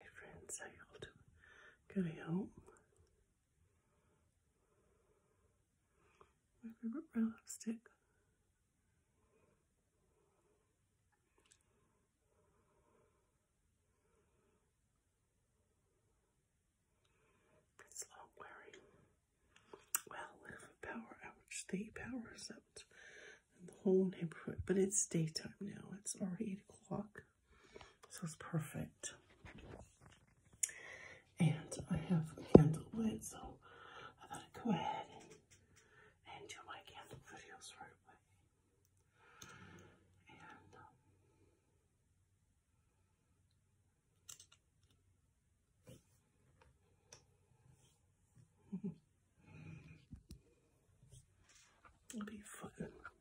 Hey friends, how y'all doing? Good, I hope. My favorite red lipstick. It's long wearing. Well, with a power outage, they powers out in the whole neighborhood. But it's daytime now. It's already 8 o'clock. So it's perfect. And I have candle lid, so I thought I'd go ahead and, do my candle videos right away. Um, It'll be fun.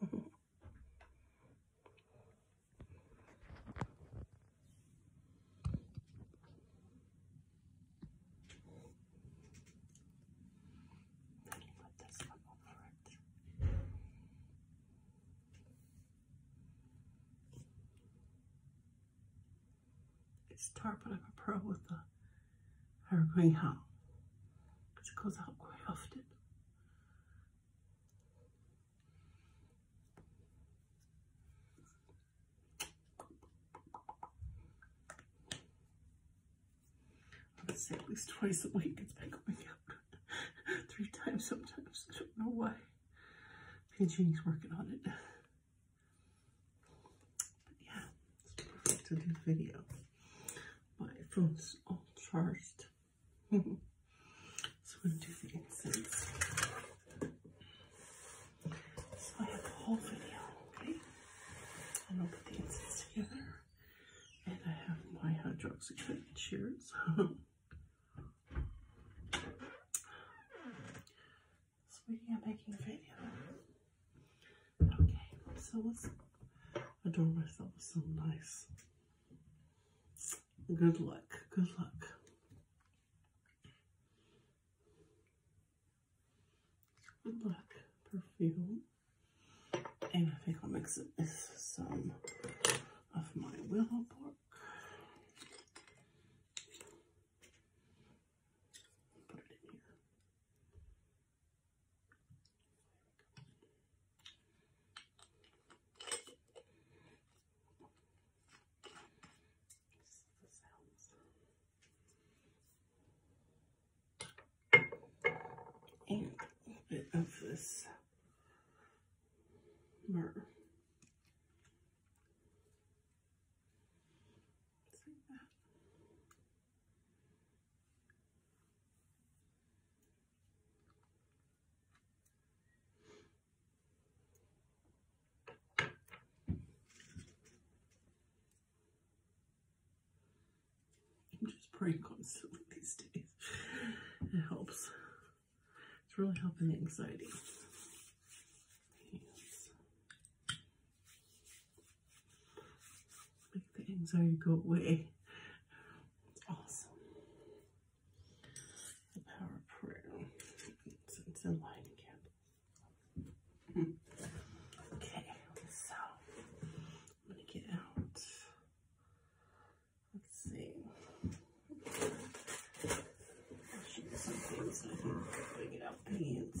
Put this one over it. It's tarpon. I'm a pro with the I'm going greyhound because it goes out quite often. I would say at least twice a week it's been going out. Three times sometimes. I don't know why. Pidgey's working on it yeah, back to the video. My phone's all charged. so I'm gonna do the incense. So I have the whole video, okay? I'm gonna put the incense together. And I have my hydroxycut. Cheers. Speaking of making a video, Okay, so let's adorn myself with some nice good luck. Good luck. Good luck perfume. And I think I'll mix it some of my willow bark. Put it in here and a little bit of this myrrh. I'm just praying constantly these days. It helps. It's really helping the anxiety. Make things anxiety go away. Awesome. The power prayer. It's, in line again. Okay, so I'm get out. Let's see. bring it out pants.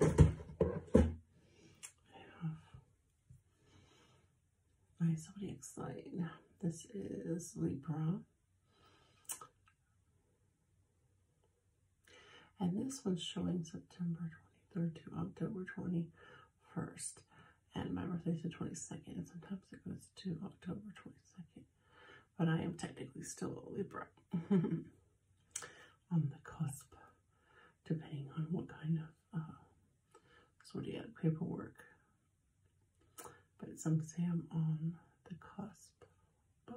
And I have somebody excited. This is Libra. And this one's showing September 23rd to October 21st. And my birthday's the 22nd, and sometimes it goes to October 22nd but I am technically still a Libra on the cusp, depending on what kind of uh, zodiac paperwork. But some say I'm on the cusp both.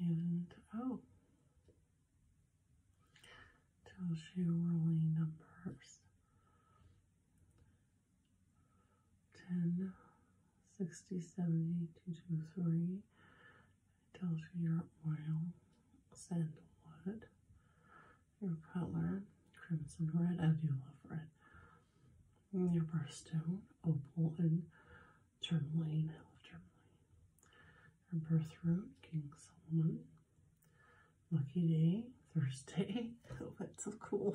And oh, tells you rolling numbers. 10, 60, 70, 223. It tells you your oil, sandalwood, your color, crimson red. and your love red. And your birthstone, opal, and tourmaline. I love tourmaline. Your birthroot, King Solomon. Lucky day, Thursday. Oh, that's so cool.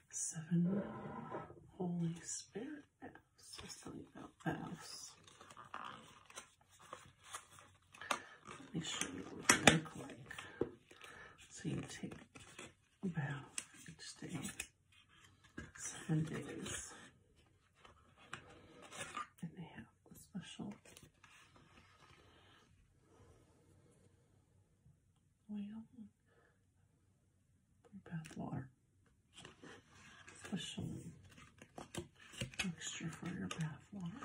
seven Holy Spirit baths. let tell you about baths. Let me show you what they look like. So you take bath each day, seven days. And they have a special bath water. Push mixture for your bath water.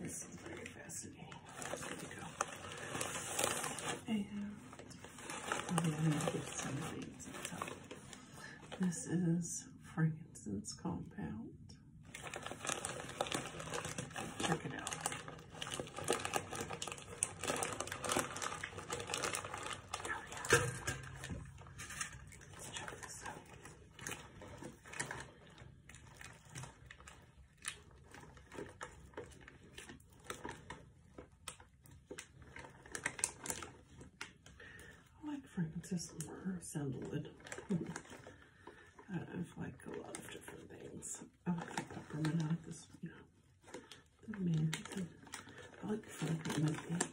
This is very fascinating. And this is frankincense compound. Check it out. Oh, Let's check this out. I like fragrances from sandalwood. I have like a lot of different things. I like the peppermint. I like this, you know, the mint. I like peppermint. Nice.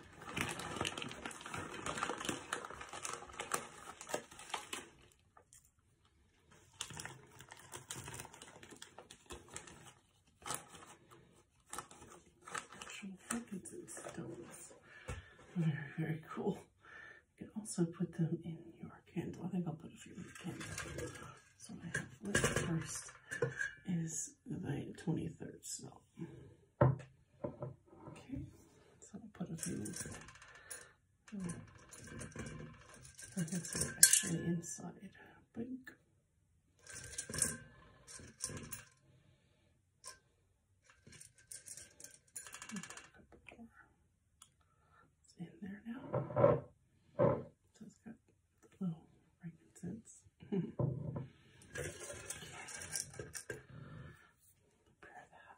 Frankincense stones. they stones. very cool. You can also put them in your candle. I think I'll put a few in the candle. So I have lit first is the 23rd smell. Okay, so I'll put it in. oh, I think it's actually inside big. It's in there now. So it's got the little frankincense. prepare that.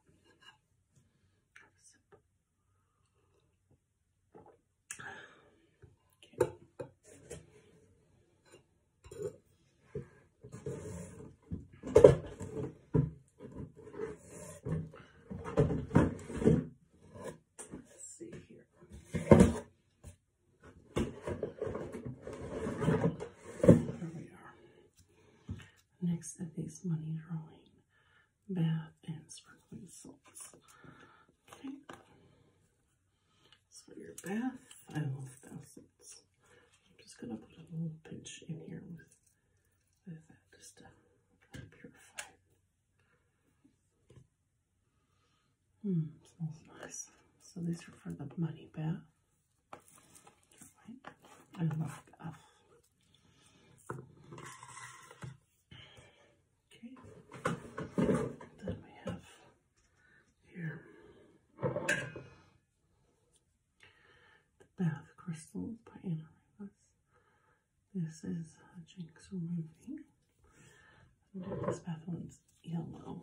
Let's see here. There we are. Next is these money drawing bath and sprinkling salts. Okay. So your bath, I love thousands. I'm just gonna put a little pinch in here with, with that just to of purify it. Hmm, smells nice. So these are for the money bath. I love that. Okay, then we have here the bath crystal by Anna This is a Jinx movie. This bath one's yellow.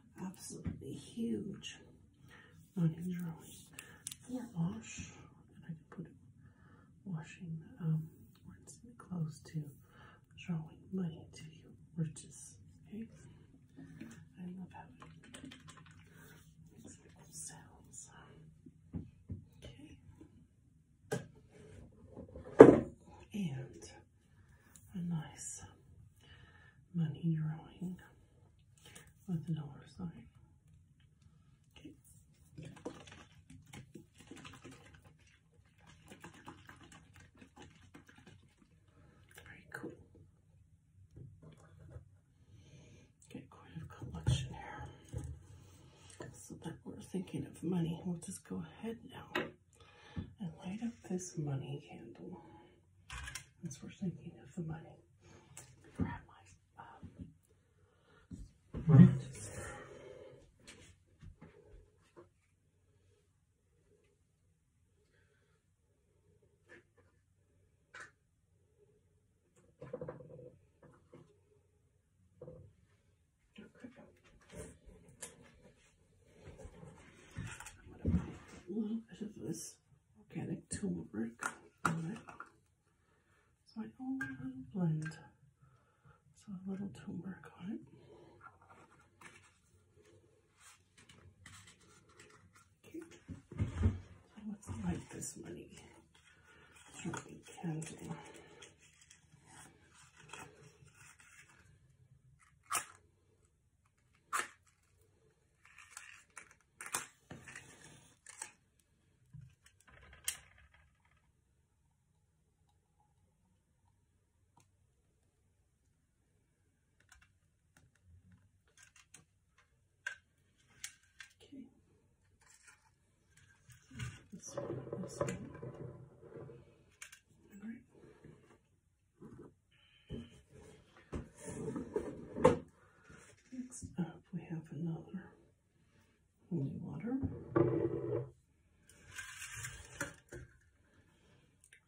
absolutely huge on his wash, I put washing um, clothes to drawing money to riches. Okay, I love how it Okay, and a nice money drawing with a dollar sign. Okay. Very cool. Get quite a collection here. So that we're thinking of money. We'll just go ahead now and light up this money candle. As we're thinking of the money, grab my um, I'm going to put a little bit of this organic turmeric on it. It's my own little blend. So a little turmeric on it. Okay. let's light this money drinking candle. This one, this one. All right. Next up, we have another holy water.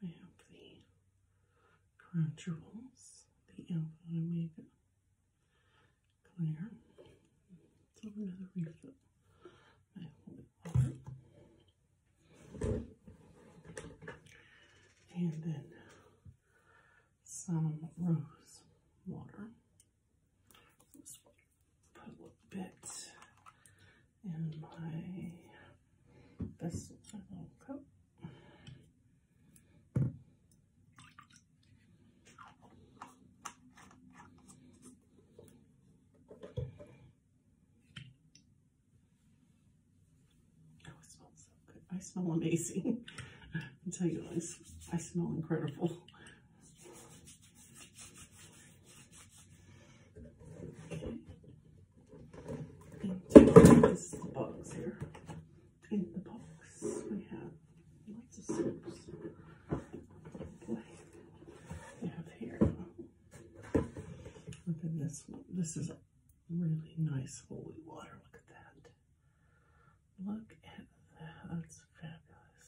We have the Crunchables, the Alpha Omega Clear. So another refill and then some rose water. Just put a little bit in my this little cup. Oh, I smell amazing. I tell you guys, I smell incredible. Okay. This is the box here. In the box, we have lots of soaps. we have here Look at this one. This is a really nice holy water. Look at that. Look at that. That's fabulous.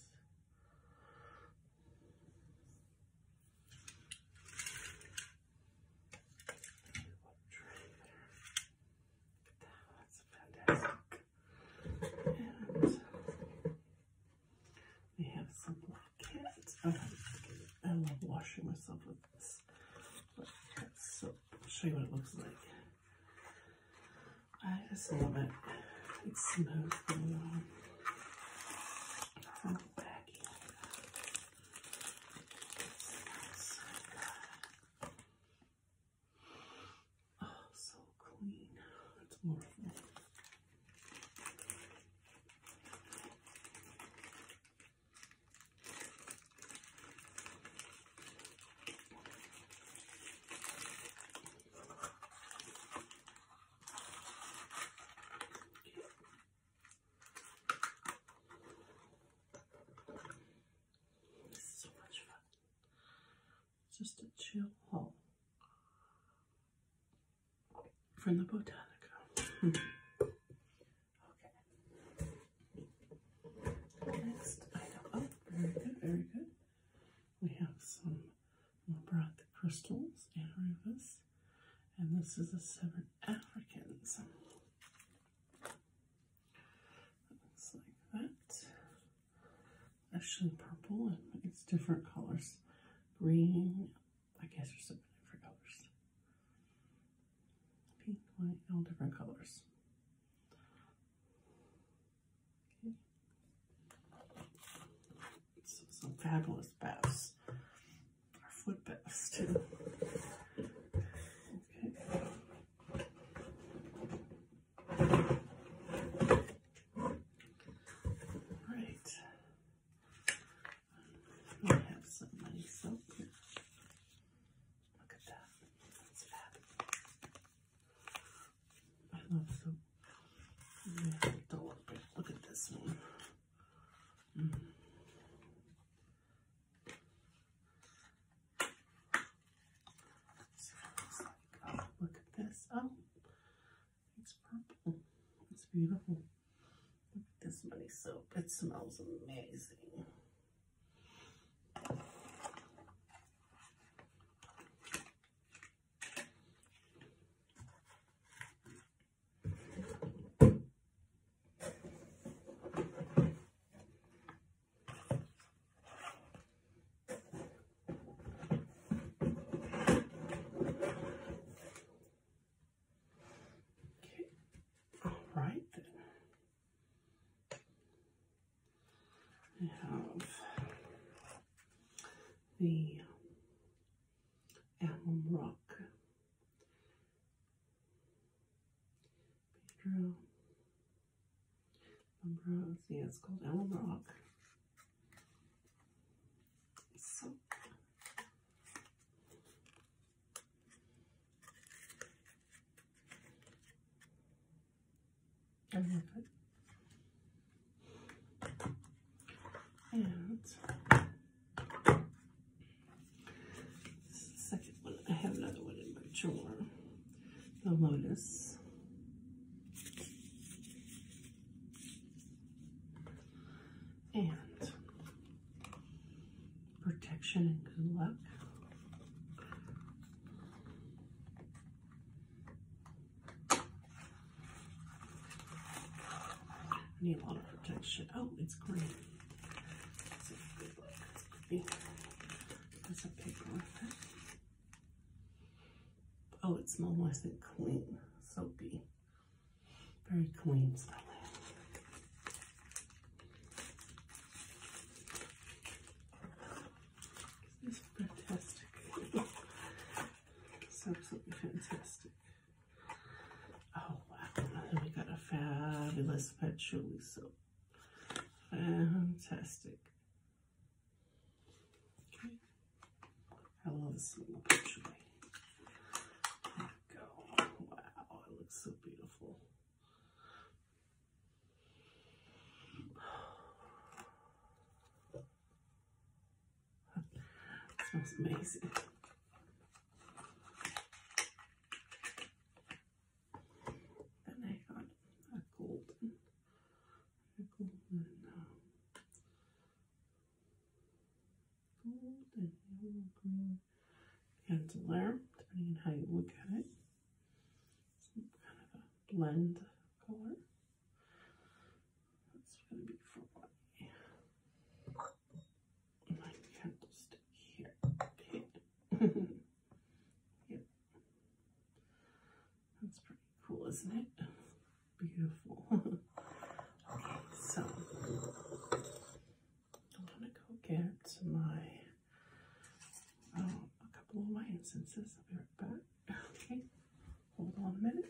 That's fantastic. We have some black cats. Okay, I love washing myself with this black show you what it looks like. I just love it. It smells oh, so clean. It's wonderful. It's so much fun. Just a chill home from the Botanica. Hmm. Okay. Next item. Oh, very good, very good. We have some labrador crystals and and this is a Seven Africans. Looks like that. Actually, purple and it's different colors. Green, I guess there's so many different colors. Pink, white, all different colors. some fabulous baths. Our foot baths too. I have some money soap. Look at that. It's fab. I love soap. Yeah, do look, at this one. So mm. like. look at this. Oh, it's purple. It's beautiful this money soap. It smells amazing. Okay, all right We have the Alum Rock Pedro Ambrose, yeah, it's called Alum Rock. So I And the second one. I have another one in my drawer. The Lotus and protection and good luck. I need a lot of protection. Oh, it's green. That's a good one. That's a big one. Oh, it smells nice and clean, soapy. Very clean smelling. This is fantastic. it's absolutely fantastic. Oh wow, we got a fabulous patchouli soap. Fantastic. Okay. I love this little picture. There we go. Wow, it looks so beautiful. smells amazing. Then I got a golden, a golden, um, gold and yellow, green depending on how you look at it. Some kind of a blend color. That's going to be for my, my candlestick here. yep. That's pretty cool, isn't it? beautiful. okay, so I'm gonna go get my um, a couple of my incenses. I'll be right back. Okay, hold on a minute.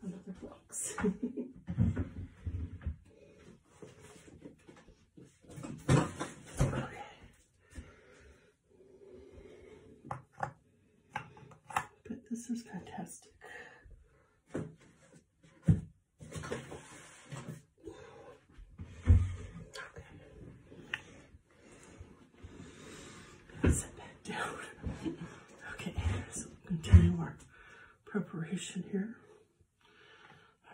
Another box. But this is fantastic. Okay. Set down. okay, so we'll continue our preparation here.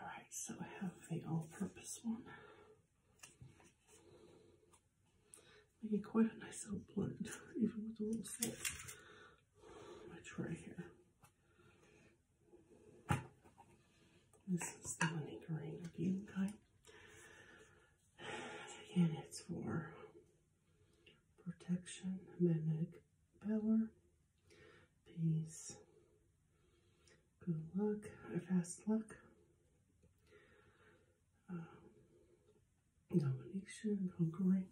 All right, so we have the all-purpose one. Making quite a nice little plant, even with a little salt. Which right here. This is the money green again, kind. Again, it's for protection, magnetic power, peace, good luck, fast luck, sure. domination, conquering.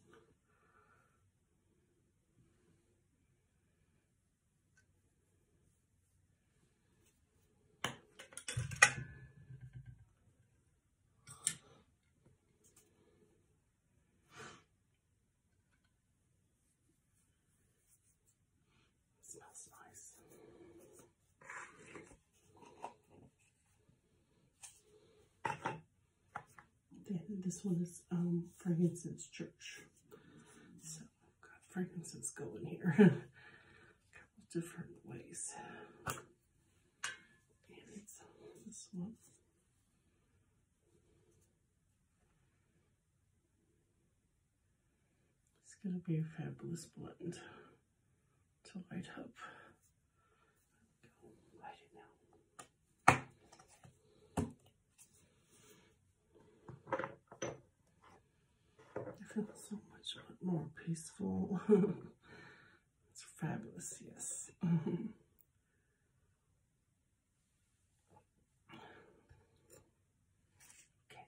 It smells nice this one is um, frankincense church. So I've got frankincense going here. a couple different ways. this one. It's going to be a fabulous blend to light up. I feel so much more peaceful. it's fabulous, yes. Okay.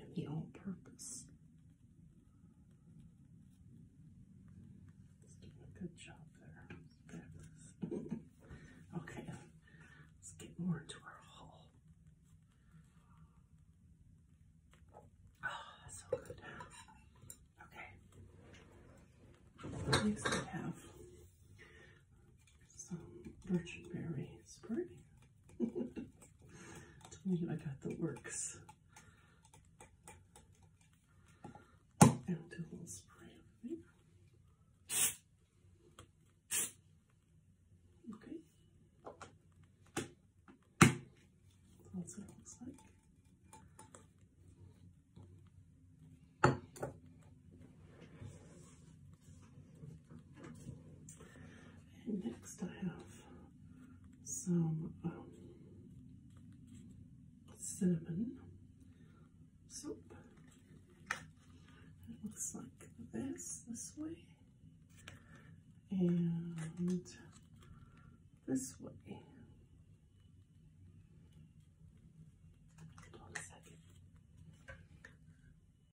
and the all purpose. good job there. okay, let's get more into our haul. Oh, ah, that's so good. Okay. Next we have some birch berry spray. Told I got the works. And do a little spray Okay. That's what it looks like. And next I have some um, cinnamon soap. It looks like this, this way. And this way.